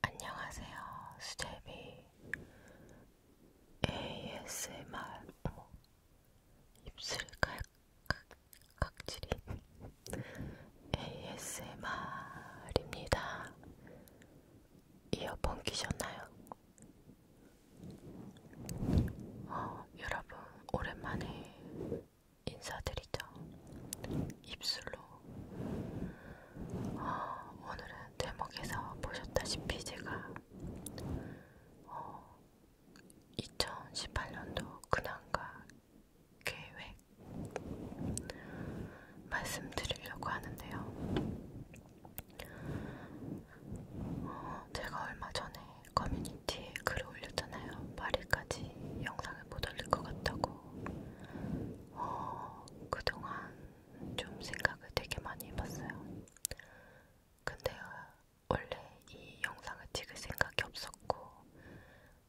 안녕하세요. 수제비 ASMR 어머. 입술 칼칵 각질이 ASMR입니다. 이어폰 끼셨나요? 어, 여러분 오랜만에 인사드리죠. 입술로 어, 오늘은 제목에서 보셨다시피 제가 어, 2018년도 근황과 계획 말씀드리려고 하는데요. 어, 제가 얼마 전에 커뮤니티에 글을 올렸잖아요. 파리까지 영상을 못 올릴 것 같다고. 어, 그동안 좀 생각을 되게 많이 해봤어요. 근데 원래 이 영상을 찍을 생각이 없었고,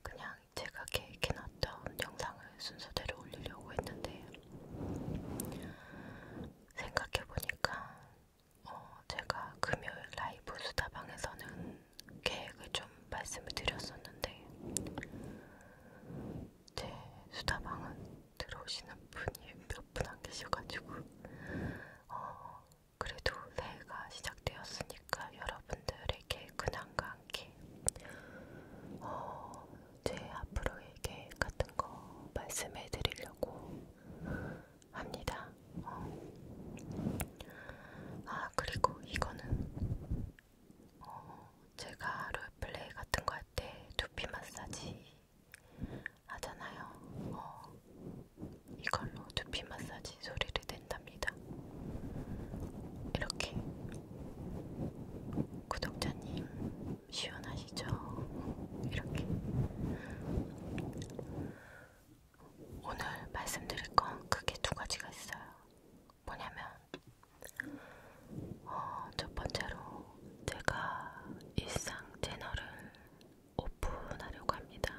그냥 제가 계획해놨던 영상을 순서대로 올리려고 했는데, 생각해보니까 어, 제가 금요일 라이브 수다방에서는 계획을 좀 말씀을 드렸었는데 제 수다방은 들어오시는 분이 몇 분 안 계셔가지고 어, 그래도 새해가 시작되었으니까 여러분들에게 근황과 함께 어, 제 앞으로의 계획 같은 거 말씀해 드리려고 합니다. 어. 아, 그리고 이거는 어, 제가 롤플레이 같은 거 할 때 두피 마사지 하잖아요. 어, 이걸로 두피 마사지 소리를 낸답니다. 이렇게 구독자님 시원하시죠? 이렇게 오늘 말씀드릴 건 크게 두 가지가 있어요. 뭐냐면 어, 첫 번째로 제가 일상 채널을 오픈하려고 합니다.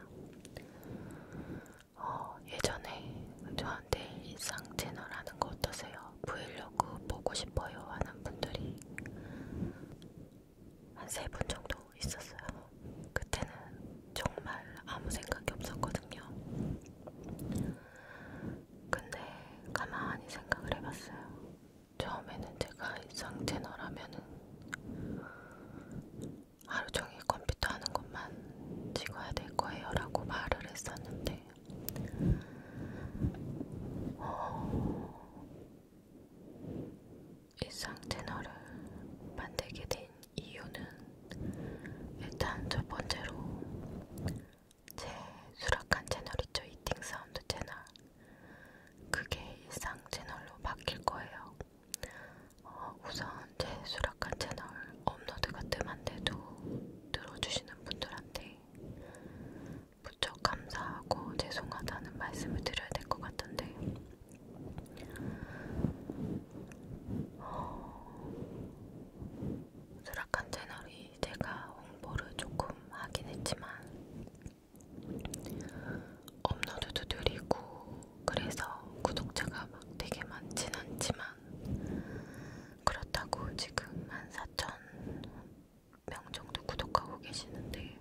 어, 예전에 저한테 일상 채널 하는 거 어떠세요? 브이로그 보고 싶어요 하는 분들이 한세분 정도 있었어요. 그때는 정말 아무 생각이 없었거든요. 근데 가만히 생각을 해봤어요. 처음에는 제가 일상 채널 하면은 하루 종일 컴퓨터 하는 것만 찍어야 될 거예요 라고 말을 했었는데 어, 일상 채널을 만들게 된 이유는 일단 첫 번째로 제 수락한 채널 있죠 이팅 사운드 채널 그게 일상 채널로 바뀔 거예요. 어, 우선 제 수락한 채널 업로드가 뜸한데도 들어주시는 분들한테 무척 감사하고 죄송하다는 말씀을 드려야 될 것 같던데 수락한 채널이 제가 홍보를 조금 하긴 했지만 업로드도 느리고 그래서 구독자가 막 되게 많진 않지만 그렇다고 지금 한 4천 명 정도 구독하고 계시는데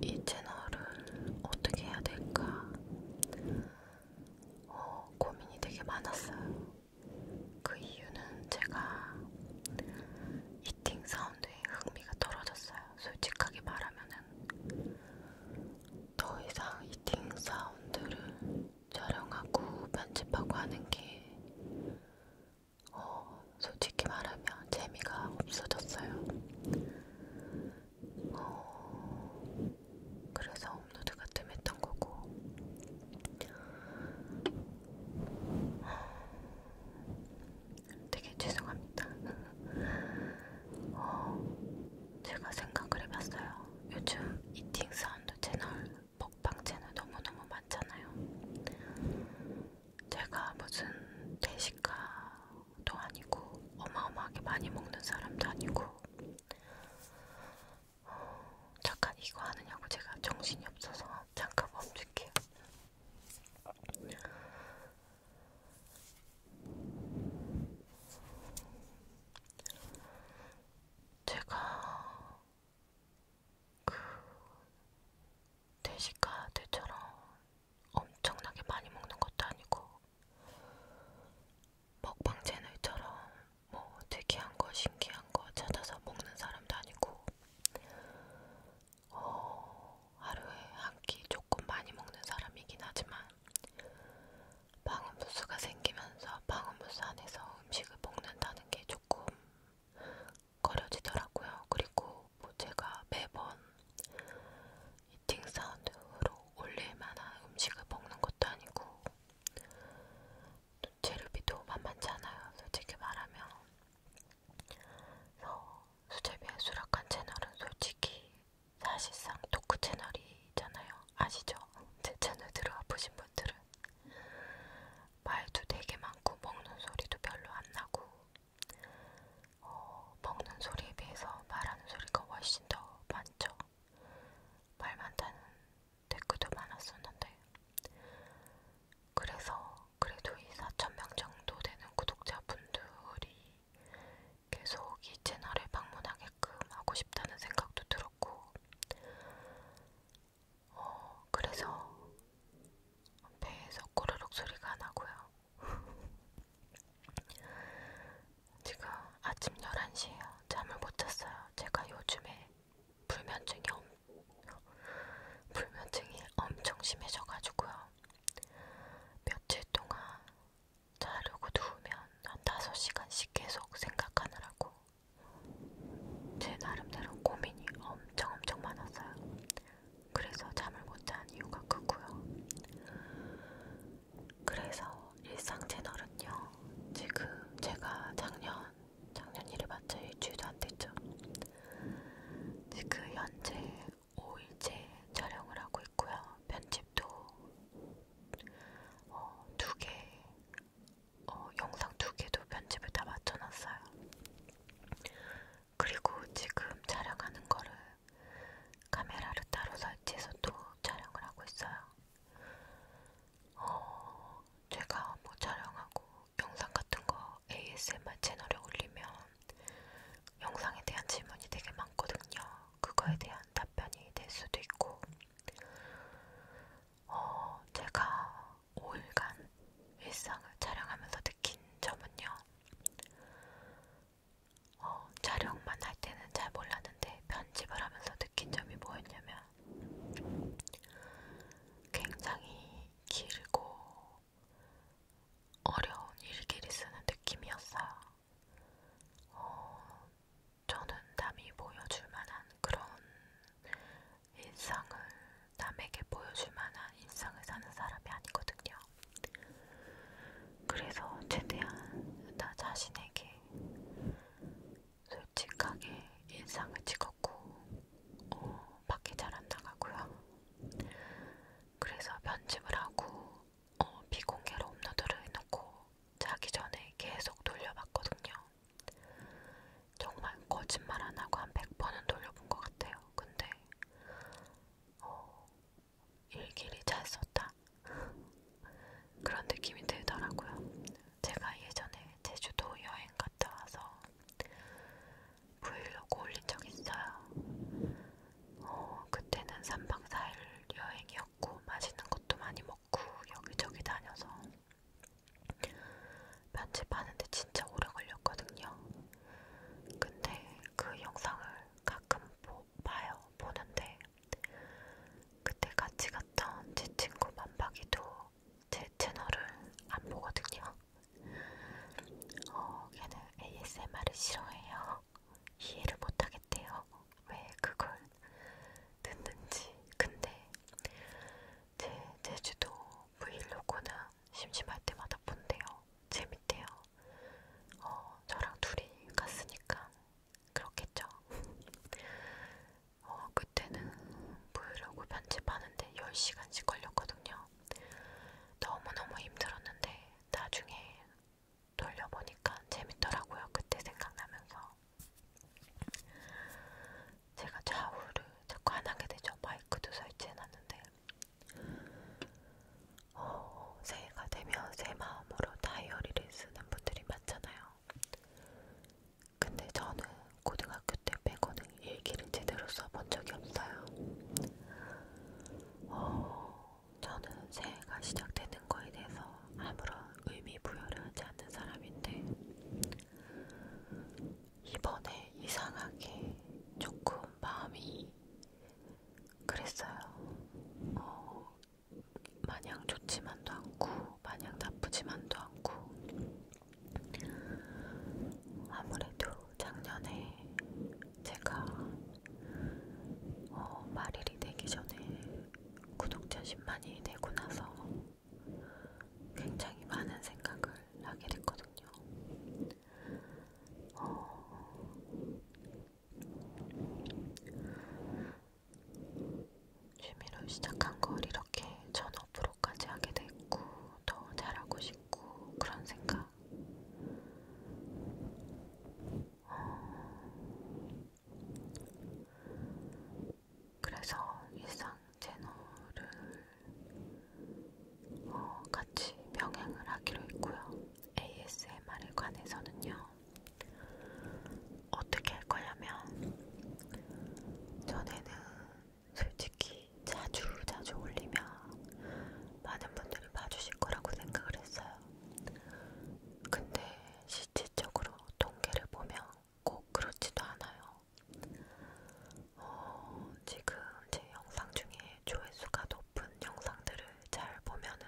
이 채널을 어떻게 해야 될까 어, 고민이 되게 많았어요. 그 이유는 제가 이팅 사운드에 흥미가 떨어졌어요. 솔직하게 말하면은 더 이상 이팅 사운드를 촬영하고 편집하고 하는 게 어, 솔직히 말하면 재미가 없어졌어요. 어, 그래서 업로드가 뜸했던 거고 되게 죄송합니다. 어, 제가 생각을 해봤어요. 요즘 이팅 사운드 채널, 먹방 채널 너무너무 많잖아요. 제가 무슨 대식가 사람도 아니고 어마어마하게 많이 먹는 사람도 아니고 어, 잠깐 이거 하느냐고 제가 정신이 없어서 잠깐 멈출게요. 제가 그 대식가들처럼 엄청나게 많이 먹는 것도 아니고 먹방 채널처럼 뭐 특이한 거 신기한 거 찾아서 먹는 사람도 아니고 어, 하루에 한 끼 조금 많이 먹는 사람이긴 하지만 방음부스가 생기면서 방음부스 안에서 음식을 먹는다는 게 조금 거려지더라고요. 그리고 뭐 제가 매번 이팅 사운드로 올릴 만한 음식을 먹는 것도 아니고 또 재료비도 만만치 않아요. 솔직히 말하면 그래서 수제비에 수락한 채널은 솔직히 사실상 토크 채널이잖아요. 아시죠? 제 채널 들어와 보신 분들은 말도 되게 많고 먹는 소리도 별로 안 나고 어, 먹는 소리에 비해서 말하는 소리가 훨씬 더 많죠. 말 많다는 댓글도 많았었는데 그래서 그래도 이 4,000명 정도 되는 구독자분들이 계속 이 채널을 방문하게끔 하고 싶다는 생각도 들었고 어, 그래서 배에서 꼬르륵 소리가 나고요. 지금 아침 11시에요. 잠을 못 잤어요. 제가 요즘에 불면증이, 엄, 불면증이 엄청 심해져가지고요. 며칠 동안 자려고 누우면 한 5시간씩 계속 생각하느라고 제 나름대로 고민이 엄청 엄청 많았어요. 그래서 잠을 못 잔 이유가 크고요. 그래서 일상 채널은요. 지금 제가 작년 작년 일이 맞자 일주일도 안 됐죠. 지금 현재 5일째 촬영을 하고 있고요. 편집도 어, 두 개, 어, 영상 두 개도 편집을 다 맞춰놨어요. 그리고 지금 촬영하는 거를 카메라를 따로 설치해서 또 촬영을 하고 있어요. 어, 제가 뭐 촬영하고 영상 같은 거 ASMR 채널에 올리면 영상에 대한 질문이 되게 많거든요. 그거에 대한 답변이 될 수도 있고, 어, 제가 5일간 일상을 촬영하면서 느낀 점은요. 어, 촬영만 할 때는 잘 몰랐는데 편집을 하면서 느낀 점이 뭐였냐면 굉장히 길고 어려운 일기를 쓰는 느낌이었어요. 어, 저는 남이 보여줄 만한 그런 일상을 남에게 보여줄 만한 일상을 사는 사람이 아니거든요. 그래서 최대한 나 자신에게 솔직하게 인상을 찍었고 어, 밖에 잘안 나가고요. 그래서 편집을 하고 어, 비공개로 업로드를 해놓고 자기 전에 계속 돌려봤거든요. 정말 거짓말 안 하고 한 100번은 돌려본 것 같아요. 근데 어, 일기를 잘 썼다 그런 느낌이 들더라고요. 제가 예전에 제주도 여행 갔다 와서 브이로그 올린 적 있어요. 어, 그때는 3박 4일 여행이었고 맛있는 것도 많이 먹고 여기저기 다녀서 편집하는데 진짜 오래 걸렸거든요. 근데 그 영상을 가끔 보, 봐요. 보는데 그때 같이 갔던 제 친구 만박이도 제 채널을 안 보거든요. 어, 걔는 ASMR을 싫어해요. 이해를 못하겠대요. 왜 그걸 듣는지. 근데 제 제주도 브이로그는 심심할 때마다 본대요. 재밌대요. 어, 저랑 둘이 갔으니까 그렇겠죠. 어, 그때는 보려고 편집하는데 10시간씩 걸렸거든요. 너무너무 힘들었는데 나중에 돌려보니까 재밌더라고요. 그때 생각나면서. 제가 좌우를 자꾸 안 하게 되죠. 마이크도 설치해놨는데. 어, 새해가 되면 새 마음으로 다이어리를 쓰는 분들이 많잖아요. 근데 저는 고등학교 때 빼고는 일기를 제대로 써본 적이 없어요. 어, 저는 새해가 시작되는 거에 대해서 아무런 의미 부여를 하지 않는 사람인데 이번에 이상하게 조금 마음이 그랬어요. 어, 마냥 좋지만도 않고, 마냥 나쁘지만도 않고, 아무래도 작년에 제가 어, 말일이 되기 전에 구독자 10만이 되고 나서 굉장히 많은 생각을 하게 됐거든요. 어, 취미로 시작한 걸 이렇게 전업으로까지 하게 됐고 더 잘하고 싶고 그런 생각 어. 그래서 일상 채널을 어, 같이 병행을 하기로 했고요. ASMR에 관해서는요. 어떻게 할 거냐면 전에는 솔직히 자주 자주 올리면 많은 분들이 봐주실 거라고 생각을 했어요. 근데 실질적으로 통계를 보면 꼭 그렇지도 않아요. 어, 지금 제 영상 중에 조회수가 높은 영상들은 영상들을 잘 보면은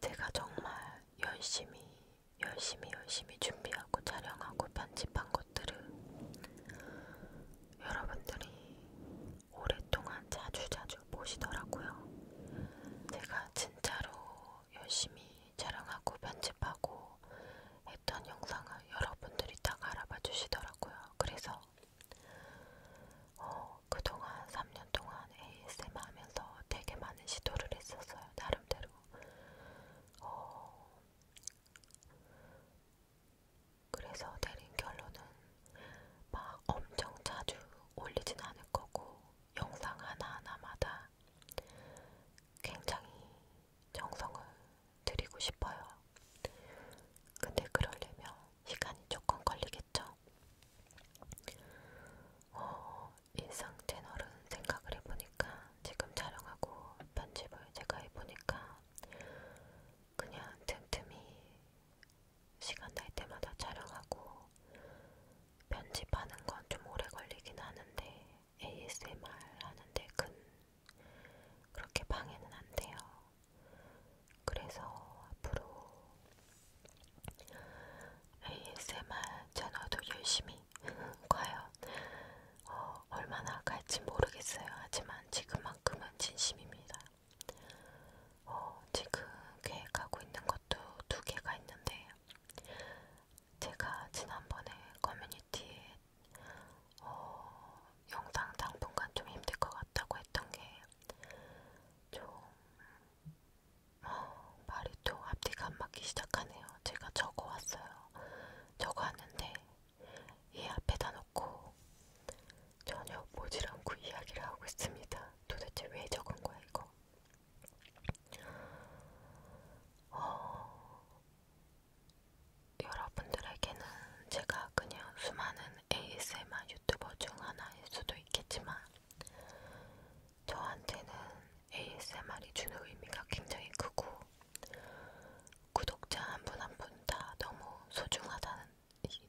제가 정말 열심히 열심히 열심히 준비하고 촬영하고 편집한 것들을 여러분들이 오랫동안 자주 자주 보시더라고요. 제가 진짜로 열심히 촬영하고 편집하고 했던 영상을 여러분들이 딱 알아봐 주시더라고요. 그래서 어, 그동안 3년 동안 ASMR 하면서 되게 많은 시도를 했었어요. 나름대로. 어, 그래서 내린 결론은 막 엄청 자주 올리진 않을 거고 영상 하나하나마다 굉장히 정성을 드리고 싶어요. 근데 그러려면 시간이 조금 걸리겠죠. 어, 일상 채널은 생각을 해보니까 지금 촬영하고 편집을 제가 해보니까 그냥 틈틈이 시간 날 때마다 촬영하고 편집하는 건 좀 오래 걸리긴 하는데 ASMR 하는데 근 그렇게 방해는 안 돼요. 그래서 앞으로 ASMR 채널도 열심히 과연 어, 얼마나 갈지 모르겠어요. 하지만 지금만큼은 진심입니다. 어, 지금 계획하고 있는 것도 두 개가 있는데 제가 지난번에 커뮤니티에 어, 영상 당분간 좀 힘들 것 같다고 했던 게좀 어, 말이 또 앞뒤가 안 맞기 시작하네요. 제가 적어왔어요. 적어왔는데 이 앞에다 놓고 전혀 보질 않고 이야기를 하고 있습니다. 도대체 왜 적은 거야 이거? 어, 여러분들에게는 제가 제가 그냥 수많은 ASMR 유튜버 중 하나일 수도 있겠지만 저한테는 ASMR이 주는 의미가 굉장히 크고 구독자 한 분 한 분 다 너무 소중하다는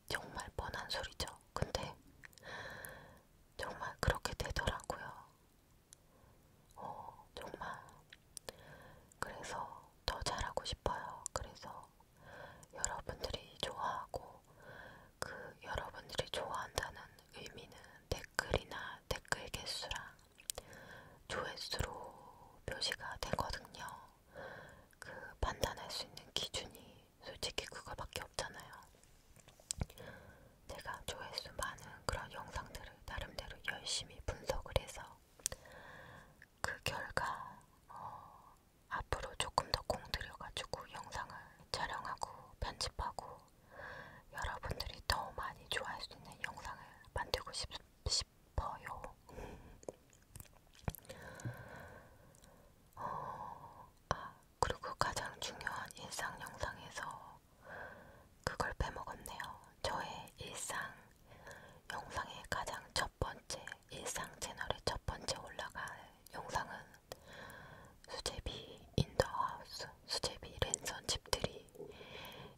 정말 뻔한 소리죠. 근데 정말 그렇게 되더라고요. 어, 정말. 그래서 더 잘하고 싶어요. 그래서 여러분들이 좋아하고 그 여러분들이 좋아한다는 의미는 댓글이나 댓글 개수랑 조회수로 표시가 되거든요. 그 판단할 수 있는 기준이 솔직히 그거밖에 없잖아요. 내가 조회수 많은 그런 영상들을 나름대로 열심히 분석을 해서 그 결과 어, 앞으로 조금 더 공들여가지고 영상을 촬영하고 편집하고 여러분들이 더 많이 좋아할 수 있는 영상을 만들고 싶, 싶어요. 어, 아, 그리고 가장 중요한 일상 영상에서 그걸 빼먹었네요. 저의 일상 영상의 가장 첫 번째 일상 채널의 첫 번째 올라갈 영상은 수제비 인더하우스, 수제비 랜선 집들이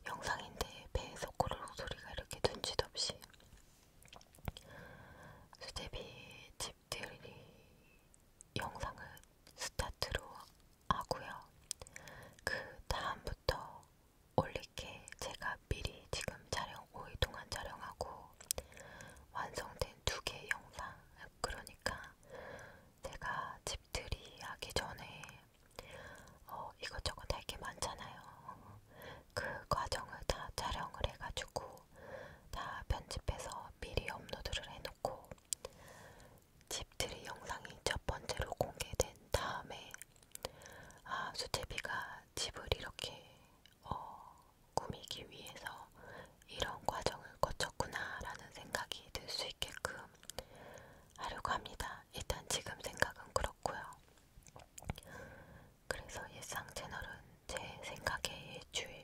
영상인데 배에서 꼬르륵 소리가 이렇게 눈짓 없이 수제비 집들이 영상을 스타트로 하고요. 그 다음부터 올릴게 제가 제가 미리 지금 촬영 5일 동안 촬영하고 완성된 두 개의 영상 그러니까 제가 집들이 하기 전에 어, 이것저것 할 게 많잖아요. 그 과정을 다 촬영을 해가지고 다 편집해서 미리 업로드를 해놓고 집들이 영상이 첫 번째로 공개된 다음에 아 수제비가 집을 이렇게 어, 꾸미기 위해서 이런 과정을 거쳤구나라는 생각이 들 수 있게끔 하려고 합니다. 일단 지금 생각은 그렇고요. 그래서 일상 채널은 제 생각에 일주일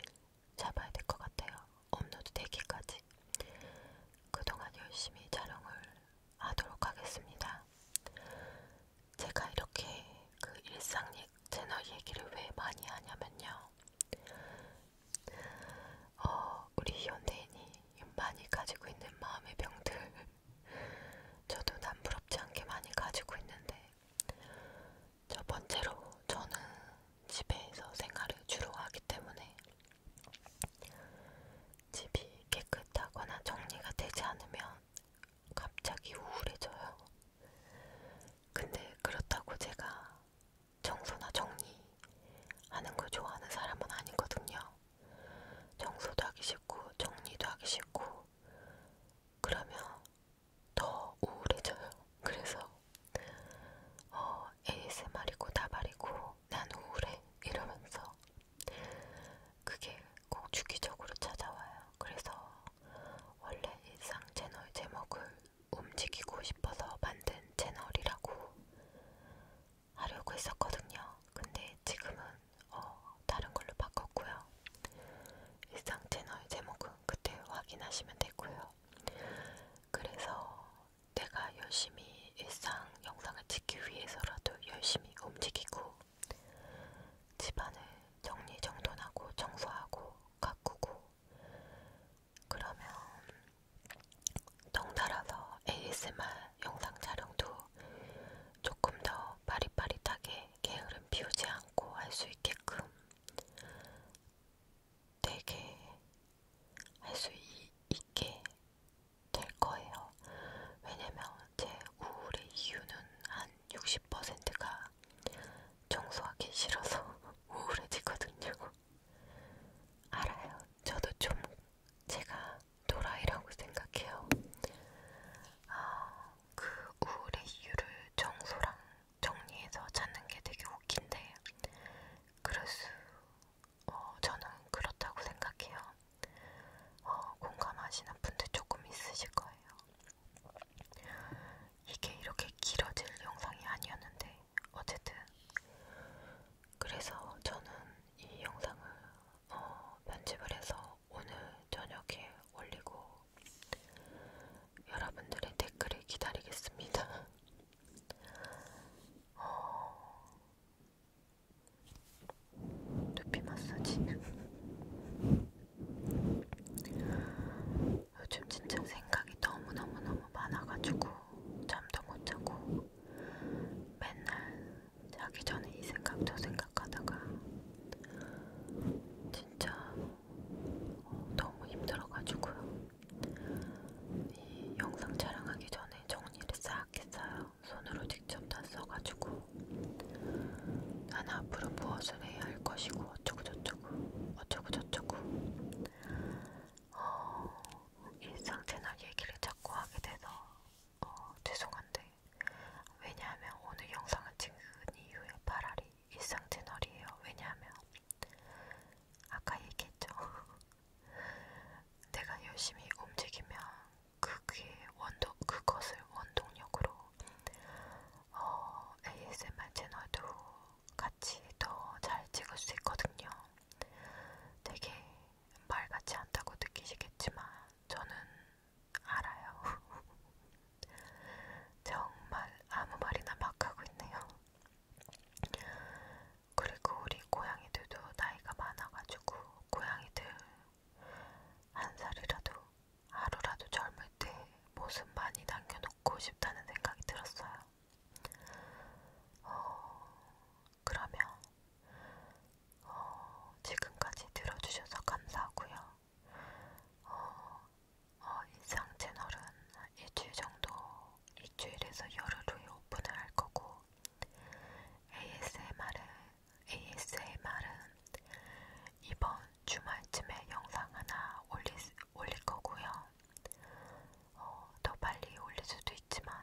잡아야 될 것 같아요. 업로드 되기까지. 그동안 열심히 촬영을 하도록 하겠습니다. 제가 이렇게 그 일상 채널 얘기를 왜 많이 하냐면요. 어, 우리 연예인이 많이 가지고 있는 마음의 병들 저도 남부럽지 않게 많이 가지고 있는데 첫 번째로 저는 집에서 생활을 주로 하기 때문에 집이 깨끗하거나 정리가 되지 않으면 갑자기 우울해져요. 근데 그렇다고 제가 청소나 정리하는 걸 좋아하는 사람은 아니거든요. 청소도 하기 싫고 정리도 하기 싫고 그러면 더 우울해져요. 그래서 어, ASMR이고 나발이고 난 우울해 이러면서 그게 꼭 주기적으로 찾아와요. 그래서 원래 일상 채널 제목을 움직이고 싶어서 만든 채널이라고 하려고 했었거든요. 근데 지금은 어, 다른 걸로 바꿨고요. 일상 채널 제목은 그때 확인하시면 되고요. 그래서 내가 열심히 일상 영상을 찍기 위해서라도 열심히 움직이고 집안을 정리정돈하고 청소하고 가꾸고 그러면 덩달아서 ASMR 영상 촬영도 조금 더 빠릿빠릿하게 게으름 피우지 않고 할 수 있게끔 되게 할 수 있게 될 거예요. 왜냐면 제 우울의 이유는 한 60%가 청소하기 싫어서 우울해지거든요. 알아요. 저도 좀 제가 도라이라고 생각해요. 아, 그 우울의 이유를 청소랑 정리해서 찾는 게 되게 웃긴데, 그럴 수, 어, 저는 그렇다고 생각해요. 어, 공감하시는 분들 조금 있으실 거예요. 이게 이렇게 길어질 영상이 아니었는데 어쨌든 그래서 저는 이 영상을 어, 편집을 해서 오늘 저녁에 올리고 여러분들의 댓글을 기다리겠습니다. 어... 두피 마사지 요즘 진짜 생각이 너무너무너무 많아가지고 잠도 못 자고 맨날 자기 전에 이 생각 저 생각하다가 진짜 어, 너무 힘들어가지고요. 이 영상 촬영하기 전에 정리를 싹 했어요. 손으로 직접 다 써가지고 난 앞으로 무엇을 해야 할 것이고 어쩌고저쩌고 어쩌고저쩌고 어, 일상 채널 얘기를 자꾸 하게 돼서 어, 죄송한데 왜냐하면 오늘 영상을 찍은 이유의 발알이 일상 채널이에요. 왜냐하면 아까 얘기했죠. 내가 열심히 움직이면 그게 원동 그것을 원동력으로 어, ASMR 채널도 같이 더 잘 찍을 수 있거든요. 되게 말같이 한다고 느끼시겠지만 저는 알아요. 정말 아무 말이나 막 하고 있네요. 그리고 우리 고양이들도 나이가 많아가지고 고양이들 한 살이라도 하루라도 젊을 때 모습 많이 남겨놓고 싶다는 생각이 들었어요. 어, 그러면 어, 지금까지 들어주셔서 감사하고요. 어, 어, 일상 채널은 일주일 정도, 일주일에서 열흘 후에 오픈을 할 거고 ASMR은 ASMR은 이번 주말쯤에 영상 하나 올릴, 올릴 거고요. 어, 더 빨리 올릴 수도 있지만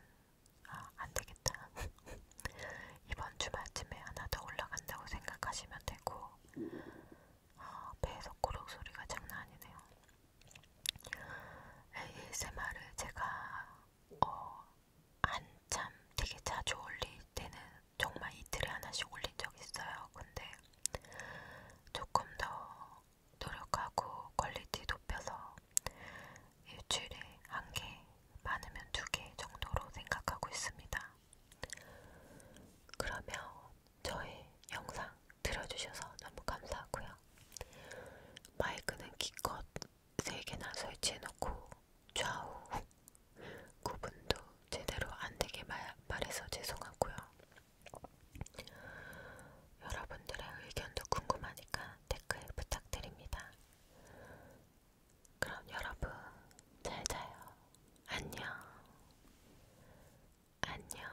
아, 안 되겠다. 이번 주말쯤에 하나 더 올라간다고 생각하시면 되고 아, 배에서 꼬록 소리가 장난 아니네요. ASMR을 제가 어, 한참 되게 자주 올릴 때는 정말 이틀에 하나씩 올린 적 있어요. 근데 조금 더 노력하고 퀄리티 높여서 일주일에 한 개, 많으면 두 개 정도로 생각하고 있습니다. 그러면 저의 영상 들어주셔서 너무 감사하고요. 마이크는 기껏 3개나 설치해놓고 좌우 구분도 제대로 안되게 말해서 죄송하고요. 여러분들의 의견도 궁금하니까 댓글 부탁드립니다. 그럼 여러분 잘 자요. 안녕. 안녕.